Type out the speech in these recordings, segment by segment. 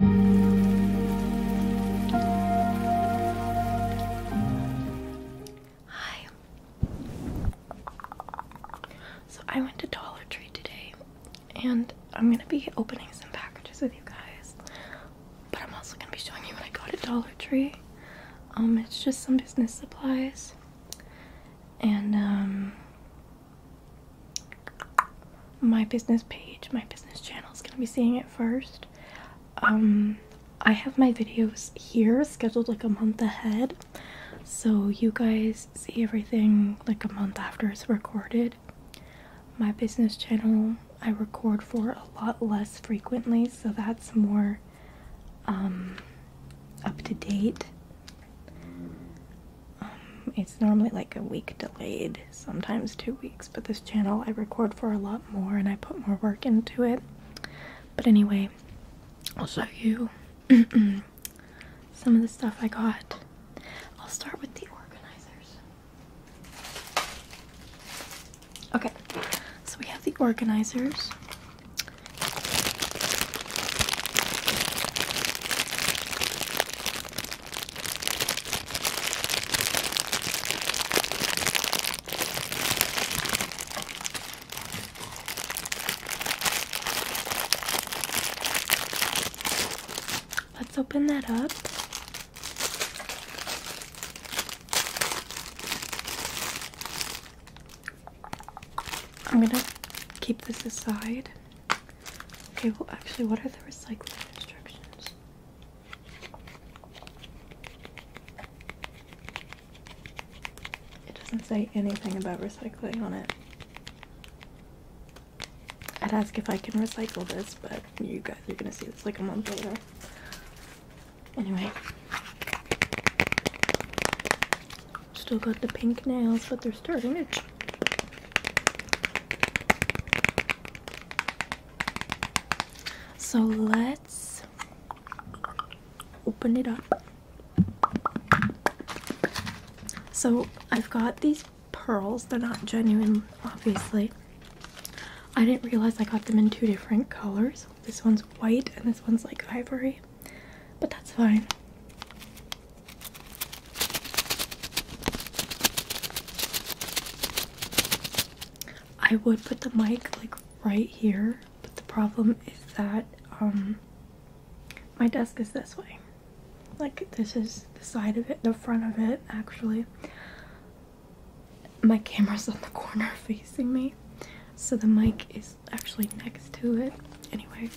Hi. So I went to Dollar Tree today and I'm going to be opening some packages with you guys. But I'm also going to be showing you what I got at Dollar Tree. Um it's just some business supplies. And um my business page, my business channel is going to be seeing it first. Um, I have my videos here scheduled like a month ahead, so you guys see everything like a month after it's recorded. My business channel I record for a lot less frequently, so that's more um, up to date. Um, it's normally like a week delayed, sometimes two weeks, but this channel I record for a lot more and I put more work into it. But anyway, I'll show you some of the stuff I got. I'll start with the organizers. Okay, so we have the organizers. Let's open that up. I'm going to keep this aside. Okay, well, actually, what are the recycling instructions? It doesn't say anything about recycling on it. I'd ask if I can recycle this, but you guys are gonna see this like a month later. Anyway. Still got the pink nails, but they're starting to so let's open it up. So I've got these pearls. They're not genuine, obviously. I didn't realize I got them in two different colors. This one's white and this one's like ivory, but that's fine. I would put the mic like right here, but the problem is that um my desk is this way. Like this is the side of it, the front of it actually. My camera's on the corner facing me, so the mic is actually next to it. Anyway,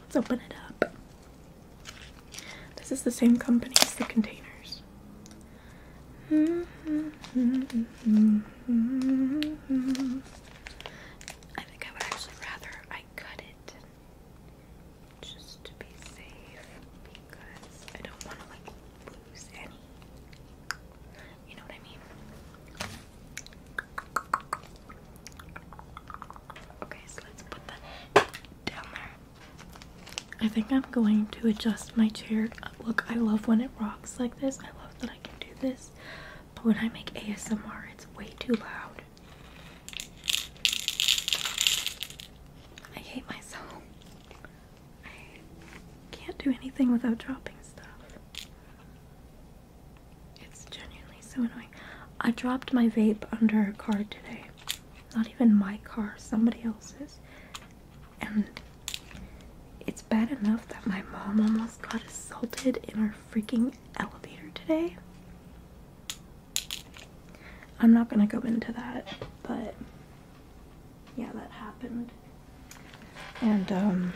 Let's open it up. This is the same company as the containers. I think I would actually rather I cut it just to be safe because I don't want to like lose any. You know what I mean? Okay, so let's put that down there. I think I'm going to adjust my chair. Look, I love when it rocks like this. I love that I can do this. But when I make ASMR, it's way too loud. I hate myself. I can't do anything without dropping stuff. It's genuinely so annoying. I dropped my vape under a car today. Not even my car, somebody else's. And it's bad enough that my mom almost got assaulted in our freaking elevator today. I'm not gonna go into that, but yeah, that happened. And um,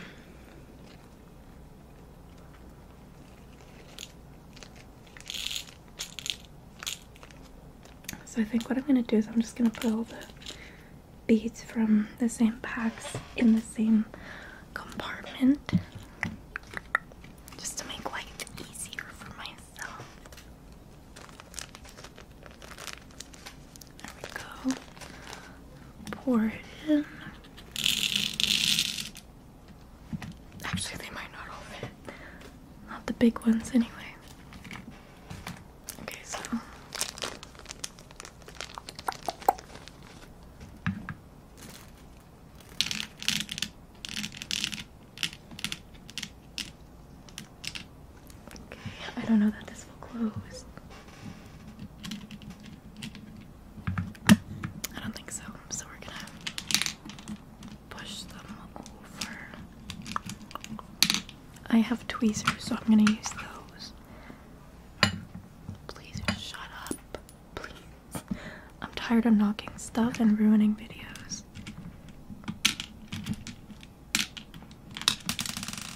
so I think what I'm going to do is I'm just going to put all the beads from the same packs in the same compartment just to make life easier for myself. There we go. Pour it in. Actually, they might not all fit. Not the big ones, anyway. Okay, so. Okay, I don't know that this will close. I don't think so, so we're gonna push them over. I have tweezers, so I'm gonna use those. Please shut up. Please. I'm tired of knocking stuff and ruining videos.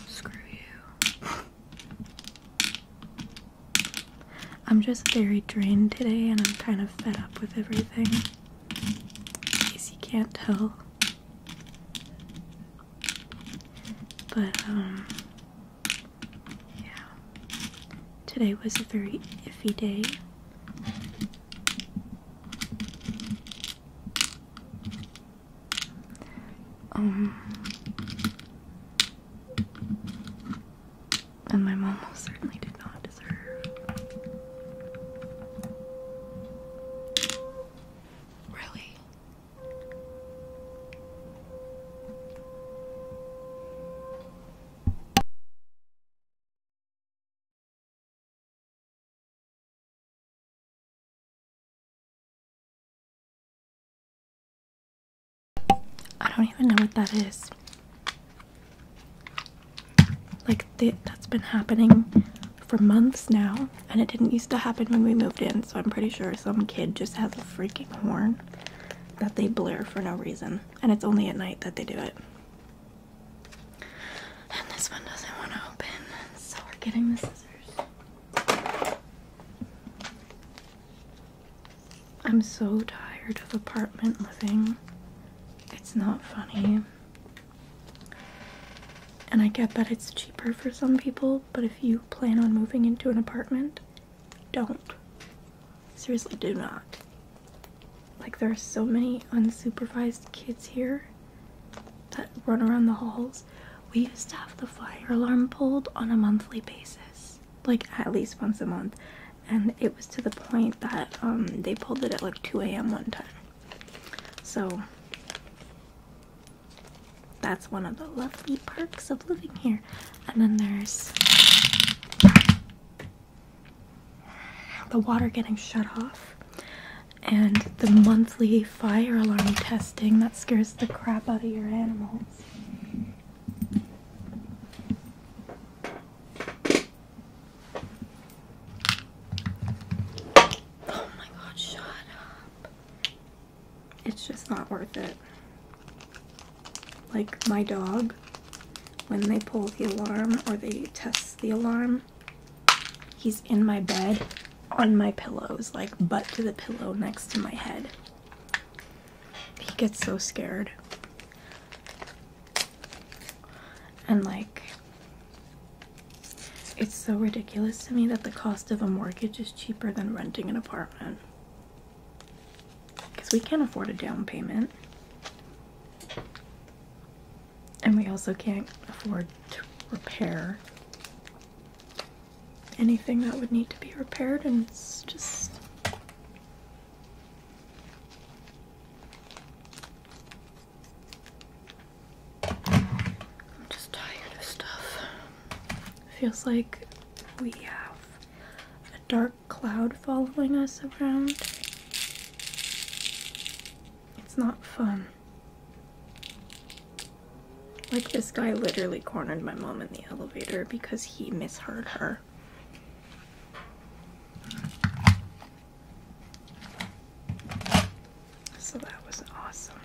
Screw you. I'm just very drained today and I'm kind of fed up with everything. In case you can't tell. But, um, yeah. Today was a very iffy day. Um, and my mom most certainly did not deserve. Really? I don't even know what that is. Like, that's been happening for months now, and it didn't used to happen when we moved in, so I'm pretty sure some kid just has a freaking horn that they blare for no reason, and it's only at night that they do it. And this one doesn't want to open, so we're getting the scissors. I'm so tired of apartment living. It's not funny. And I get that it's cheaper for some people, but if you plan on moving into an apartment, don't. Seriously, do not. Like, there are so many unsupervised kids here that run around the halls, we used to have the fire alarm pulled on a monthly basis, like at least once a month. And it was to the point that um, they pulled it at like 2 a.m. one time. So that's one of the lovely perks of living here. And then there's the water getting shut off and the monthly fire alarm testing that scares the crap out of your animals. Oh my god, shut up. It's just not worth it. Like my dog, when they pull the alarm or they test the alarm, He's in my bed, on my pillows, like butt to the pillow next to my head. He gets so scared. And like, it's so ridiculous to me that the cost of a mortgage is cheaper than renting an apartment. Because we can't afford a down payment and we also can't afford to repair anything that would need to be repaired, and it's just. I'm just tired of stuff. Feels like we have a dark cloud following us around. It's not fun. Like, this guy literally cornered my mom in the elevator because he misheard her. So that was awesome.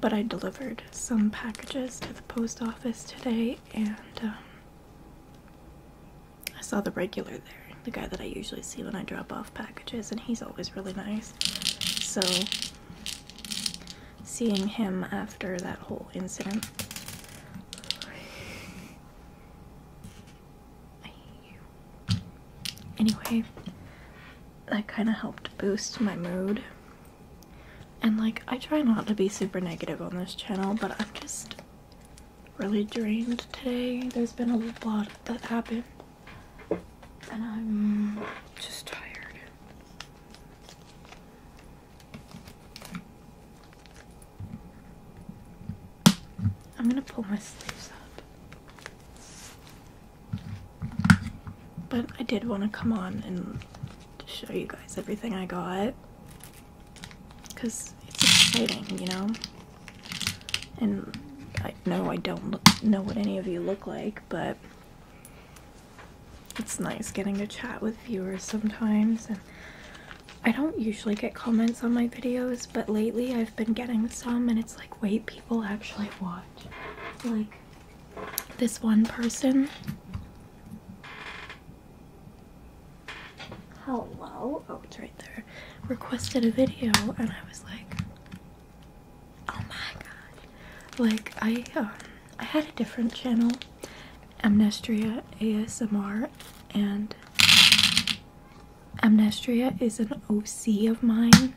But I delivered some packages to the post office today and um, I saw the regular there, the guy that I usually see when I drop off packages, and he's always really nice. So seeing him after that whole incident. Anyway, that kind of helped boost my mood. And like, I try not to be super negative on this channel, but I'm just really drained today. There's been a lot that happened. And I'm just tired. I'm gonna pull my sleeves up. But I did want to come on and show you guys everything I got because it's exciting, you know. And I know I don't know what any of you look like, but it's nice getting to chat with viewers sometimes. And I don't usually get comments on my videos, but lately I've been getting some, and it's like, wait, people actually watch. Like this one person hello oh it's right there requested a video and i was like oh my god like i um, i had a different channel amnestria asmr and amnestria is an oc of mine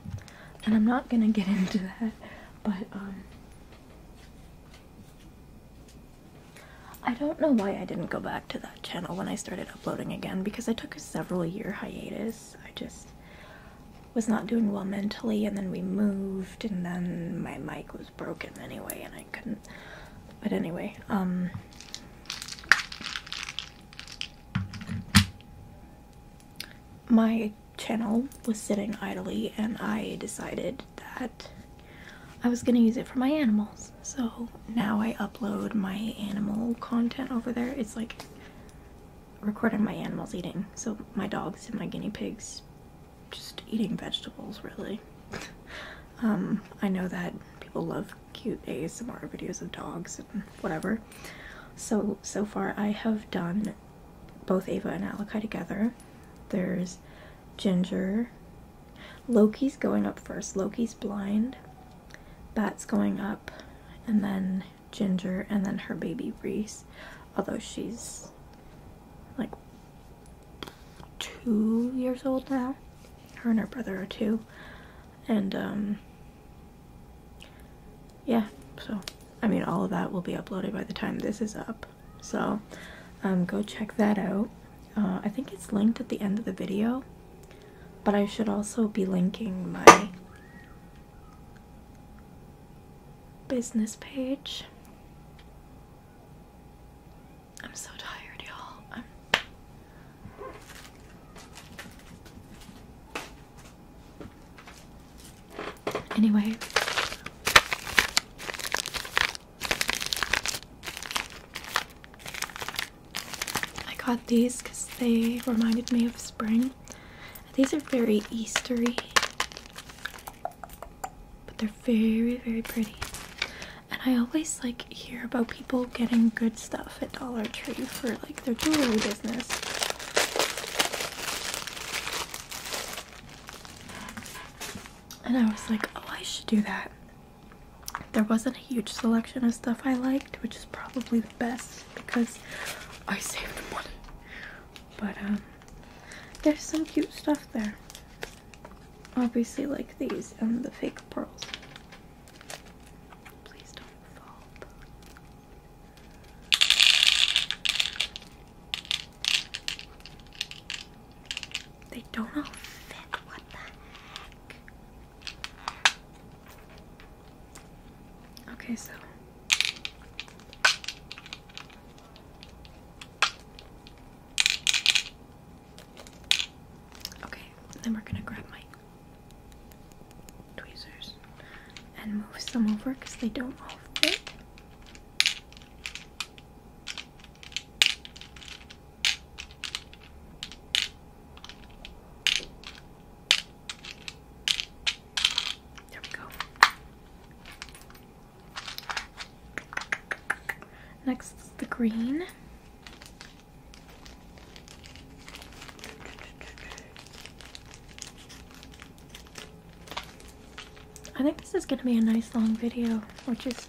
and i'm not gonna get into that but um I don't know why I didn't go back to that channel when I started uploading again because I took a several year hiatus. I just was not doing well mentally, and then we moved, and then my mic was broken anyway, and I couldn't. But anyway, um, My channel was sitting idly, and I decided that I was gonna use it for my animals. So now I upload my animal content over there. It's like recording my animals eating. So my dogs and my guinea pigs just eating vegetables really. um, I know that people love cute ASMR videos of dogs and whatever. So, so far I have done both Ava and Alika together. There's Ginger Loki's going up first. Loki's blind. Bat's going up, and then Ginger, and then her baby Reese. Although she's like two years old now. Her and her brother are two. And, um, yeah, so, I mean, all of that will be uploaded by the time this is up. So, um, go check that out. Uh, I think it's linked at the end of the video, but I should also be linking my business page. I'm so tired, y'all. Anyway, I got these because they reminded me of spring. These are very Eastery, but they're very, very pretty. And I always like hear about people getting good stuff at Dollar Tree for like their jewelry business. And I was like, oh, I should do that there wasn't a huge selection of stuff I liked, which is probably the best because I saved money. But um, there's some cute stuff there. Obviously, like these and the fake pearls. Please don't fall. They don't all fit. What the Okay, so Okay, then we're gonna grab my tweezers and move some over because they don't all fit. There we go. Next the green. I think this is going to be a nice long video, which is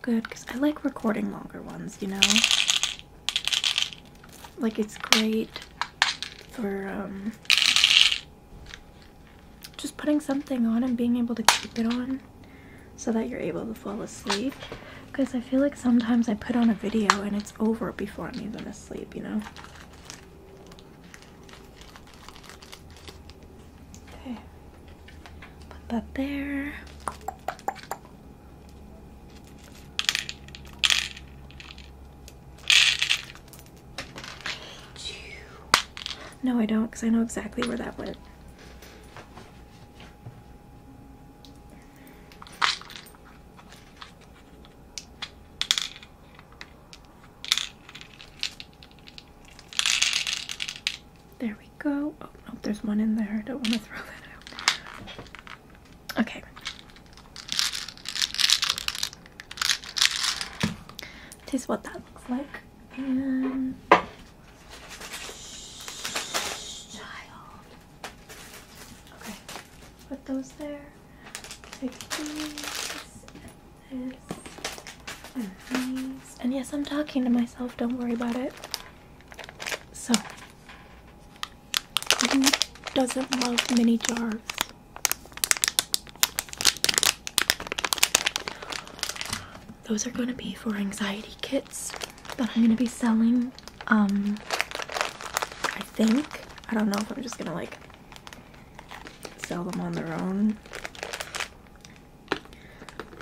Good, because I like recording longer ones, you know? Like, it's great for um, just putting something on and being able to keep it on so that you're able to fall asleep. Because I feel like sometimes I put on a video and it's over before I'm even asleep, you know? Okay. Put that there. No, I don't, because I know exactly where that went. There go. Oh, no, there's one in there. I don't want to throw that out. Okay. Taste what that looks like. And child. Okay. Put those there. Take these and these. And yes, I'm talking to myself, don't worry about it. So, who doesn't love mini jars? Those are going to be for anxiety kits that I'm going to be selling. Um, I think. I don't know if I'm just going to like sell them on their own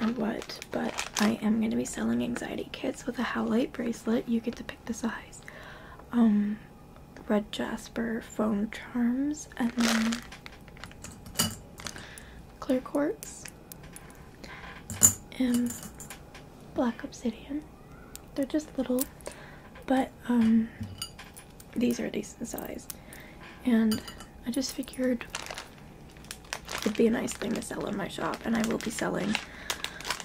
or what, but I am going to be selling anxiety kits with a howlite bracelet. You get to pick the size. Um, red jasper foam charms, and then clear quartz and um, black obsidian. They're just little, but um, these are decent size. And I just figured It'd be a nice thing to sell in my shop, and I will be selling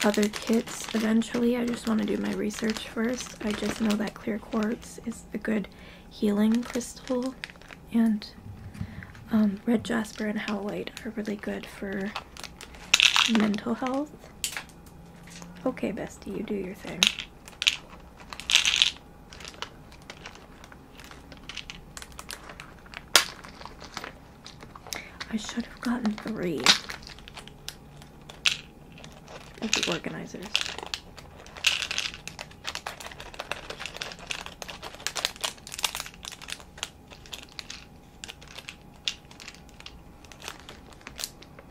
other kits eventually. I just want to do my research first. I just know that clear quartz is a good healing crystal, and um, red jasper and howlite are really good for mental health. Okay, bestie, you do your thing. I should have gotten three of the organizers.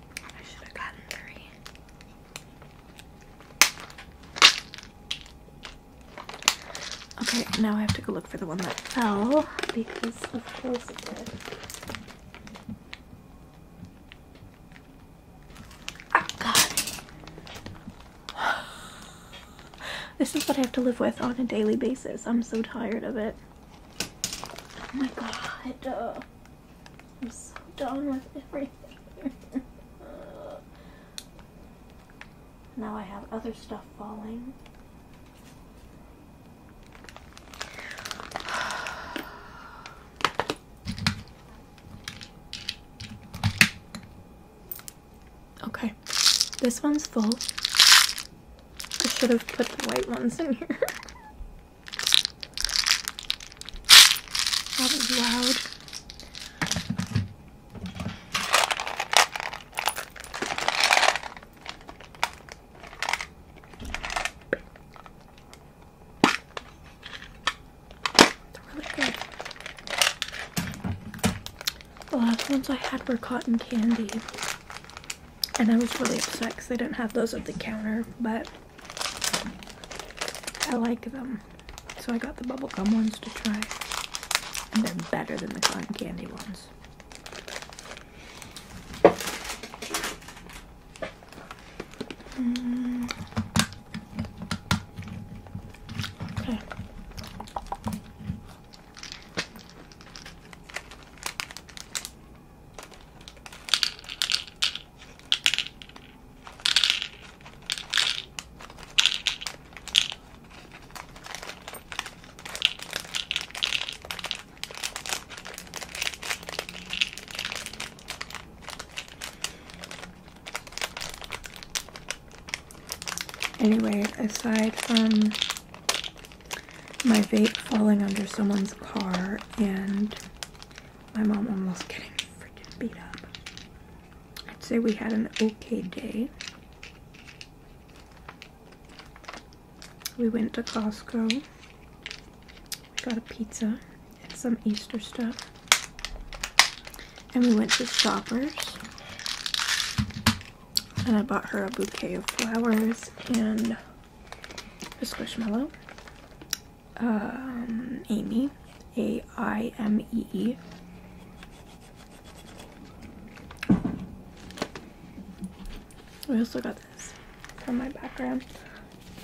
I should have gotten three. Okay, now I have to go look for the one that fell because of course it did. Oh god. This is what I have to live with on a daily basis. I'm so tired of it. Oh my god. Uh, I'm so done with everything. Uh, now I have other stuff falling. Okay, this one's full. I should have put the white ones in here. that was loud. They're really good. The last ones I had were cotton candy. And I was really upset because they didn't have those at the counter, but I like them. So I got the bubblegum ones to try. And they're better than the cotton candy ones. Mm, okay. Anyway, aside from my vape falling under someone's car and my mom almost getting freaking beat up. I'd say we had an okay day. We went to Costco. We got a pizza and some Easter stuff. And we went to Shoppers. And I bought her a bouquet of flowers and a squishmallow um, Amy, A I M E E. We also got this from my background.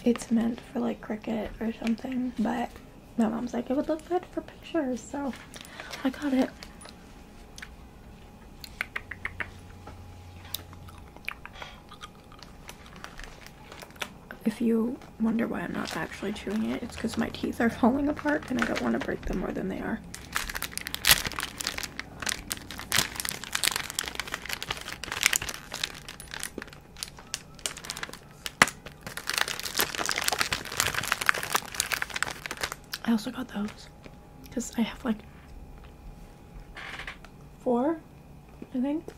It's meant for like cricket or something, but my mom's like, it would look good for pictures, so I got it if you wonder why I'm not actually chewing it, it's because my teeth are falling apart and I don't want to break them more than they are. I also got those because I have like four, I think.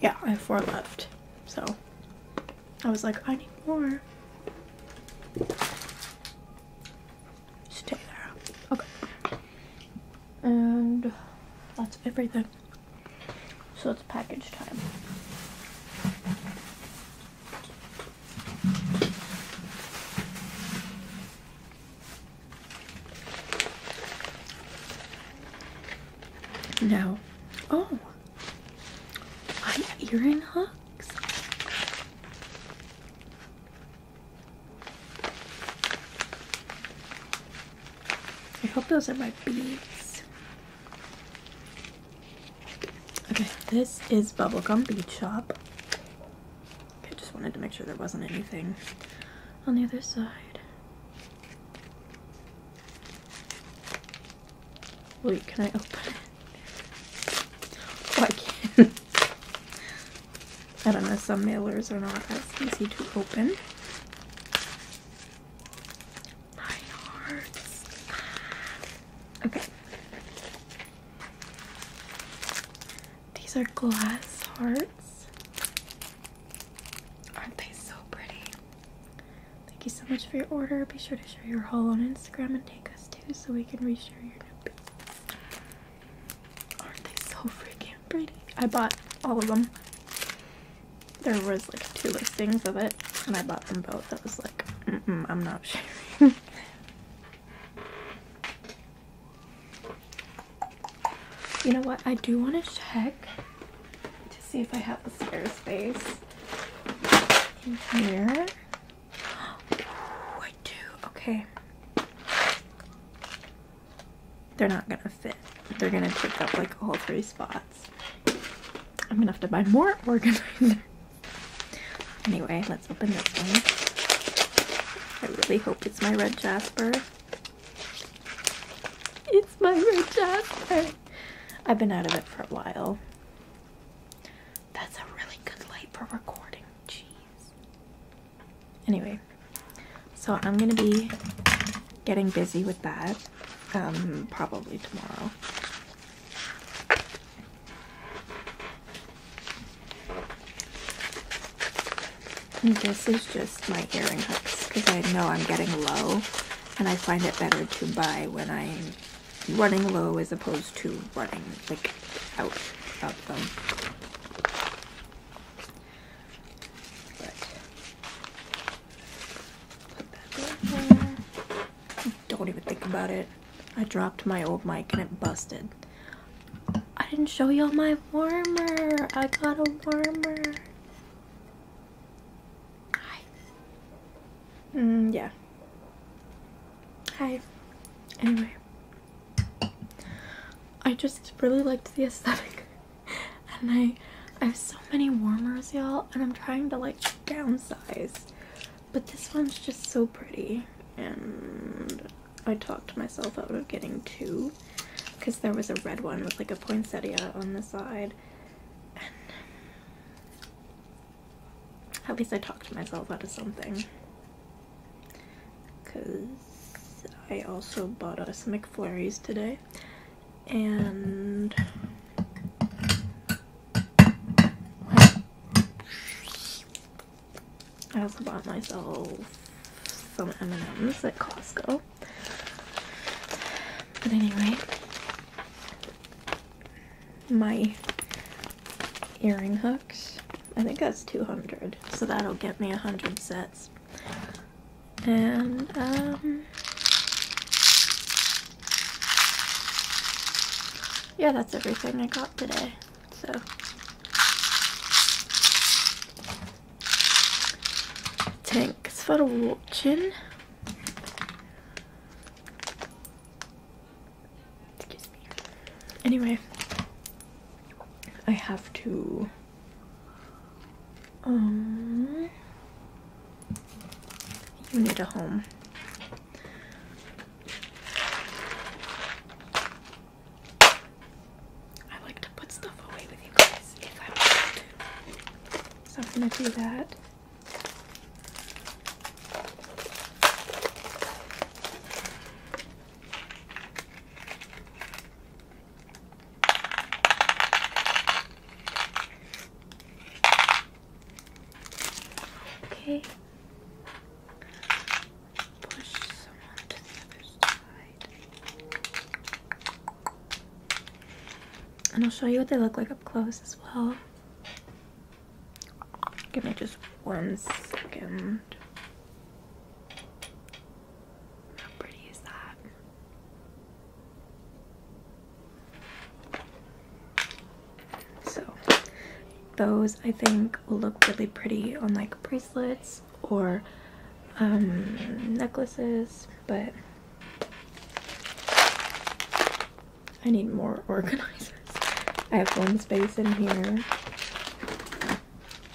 Yeah, I have four left. So I was like, I need more. Stay there. Okay. And that's everything. So it's package time. No. Oh, my earring hooks. I hope those are my beads. Okay, this is Bubblegum Bead Shop. I just wanted to make sure there wasn't anything on the other side. Wait, can I open it? Oh, I can. I don't know, some mailers are not as easy to open. Nine hearts. Okay. These are glass hearts. Aren't they so pretty? Thank you so much for your order. Be sure to share your haul on Instagram and tag us too so we can reshare your new piece. Aren't they so freaking pretty? I bought all of them. There was like two listings of it and I bought them both. That was like, I'm not sharing. You know what? I do want to check to see if I have the spare space in here. I do. Okay. They're not going to fit. They're going to take up like all three spots. I'm going to have to buy more organizer. Anyway, let's open this one. I really hope it's my red jasper. It's my red jasper. I've been out of it for a while. That's a really good light for recording. Jeez. Anyway, so I'm going to be getting busy with that um, probably tomorrow. And this is just my earring hooks because I know I'm getting low and I find it better to buy when I'm running low as opposed to running like out of them. don't even think about it. I dropped my old mic and it busted. I didn't show y'all my warmer. I got a warmer. Hi. Mm, yeah. Hi. Anyway. I just really liked the aesthetic. and I I have so many warmers, y'all, and I'm trying to like downsize. But this one's just so pretty. And I talked myself out of getting two because there was a red one with like a poinsettia on the side. at least I talked myself out of something. Because I also bought us McFlurries today. And... I also bought myself some M&Ms at Costco but anyway, my earring hooks. I think that's 200, so that'll get me 100 sets. And, um, yeah, that's everything I got today, so. Thanks for watching. Anyway, I have to um you need a home. I like to put stuff away with you guys if I So I'm going to do that. Okay. Push someone to the other side. And I'll show you what they look like up close as well. Give me just one second. How pretty is that? So, those I think will look really pretty on like bracelets or um, necklaces, but I need more organizers. I have one space in here,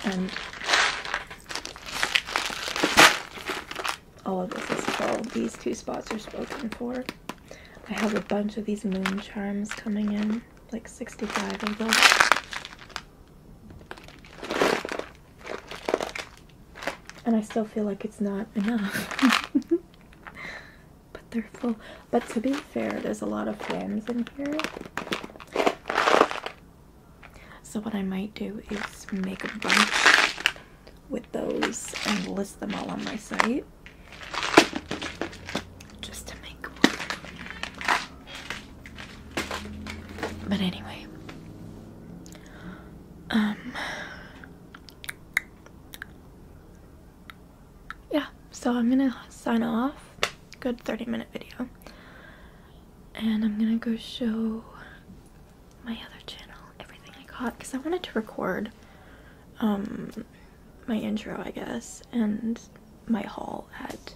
and all of this is full. These two spots are spoken for. I have a bunch of these moon charms coming in, like 65 of them. And I still feel like it's not enough. but they're full. But to be fair, there's a lot of fans in here. So what I might do is make a bunch with those and list them all on my site. Just to make but anyway, um, yeah, so I'm gonna sign off. Good 30 minute video. And I'm gonna go show my other channel everything I caught because I wanted to record um, my intro, I guess, and my haul at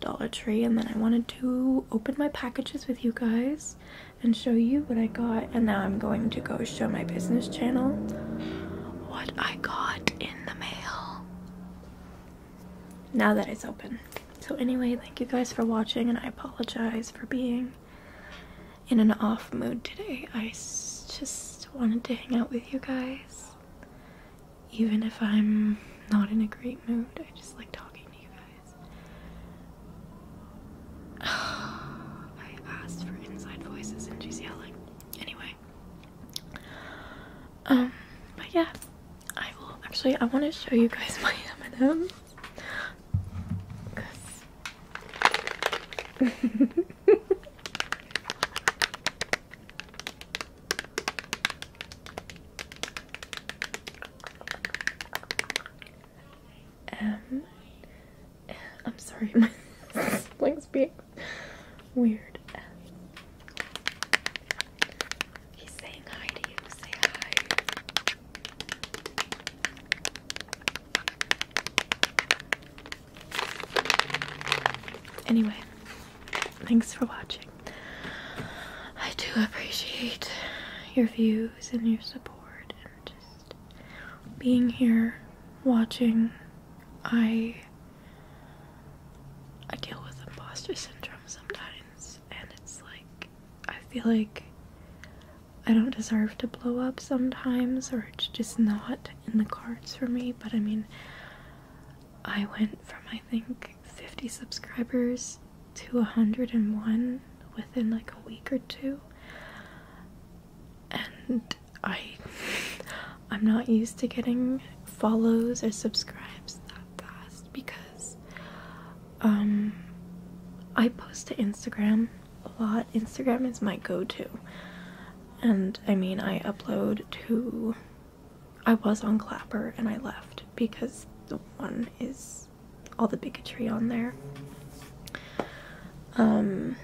Dollar Tree and then I wanted to open my packages with you guys and show you what I got and now I'm going to go show my business channel what I got in the mail now that it's open. So anyway, thank you guys for watching and I apologize for being in an off mood today. I just wanted to hang out with you guys even if I'm not in a great mood, I just like talking to you guys. I asked for inside voices and she's Anyway. Um, but yeah. I will actually I want to show you guys my M&M's. ms Um, I'm sorry, my slink's being weird. Anyway, Thanks for watching. I do appreciate your views and your support and just being here watching. I I deal with imposter syndrome sometimes and it's like I feel like I don't deserve to blow up sometimes or it's just not in the cards for me, but I mean I went from my I think 50 subscribers to 101 within like a week or two. And I I'm not used to getting follows or subscribes that fast because um I post to Instagram a lot. Instagram is my go-to. And I mean, I upload to I was on Clapper and I left because the one is all the bigotry on there. Um,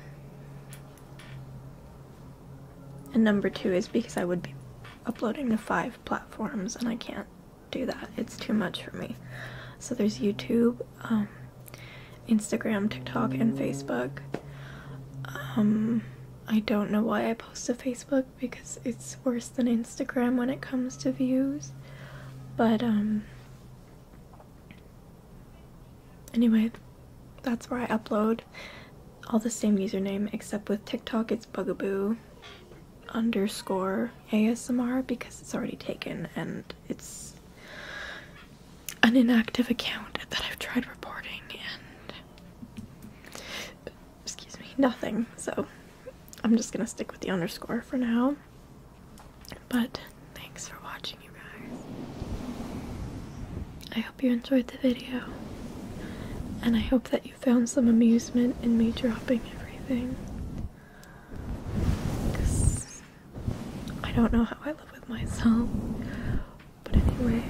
and number two is because I would be uploading to five platforms and I can't do that. It's too much for me. So there's YouTube, um, Instagram, TikTok, and Facebook. Um, I don't know why I post to Facebook because it's worse than Instagram when it comes to views. But, um, anyway, that's where I upload. All the same username except with TikTok it's bugaboo underscore ASMR because it's already taken and it's an inactive account that I've tried reporting and excuse me, nothing. So I'm just going to stick with the underscore for now. But thanks for watching, you guys. I hope you enjoyed the video. And I hope that you found some amusement in me dropping everything. Because I don't know how I live with myself. But anyway.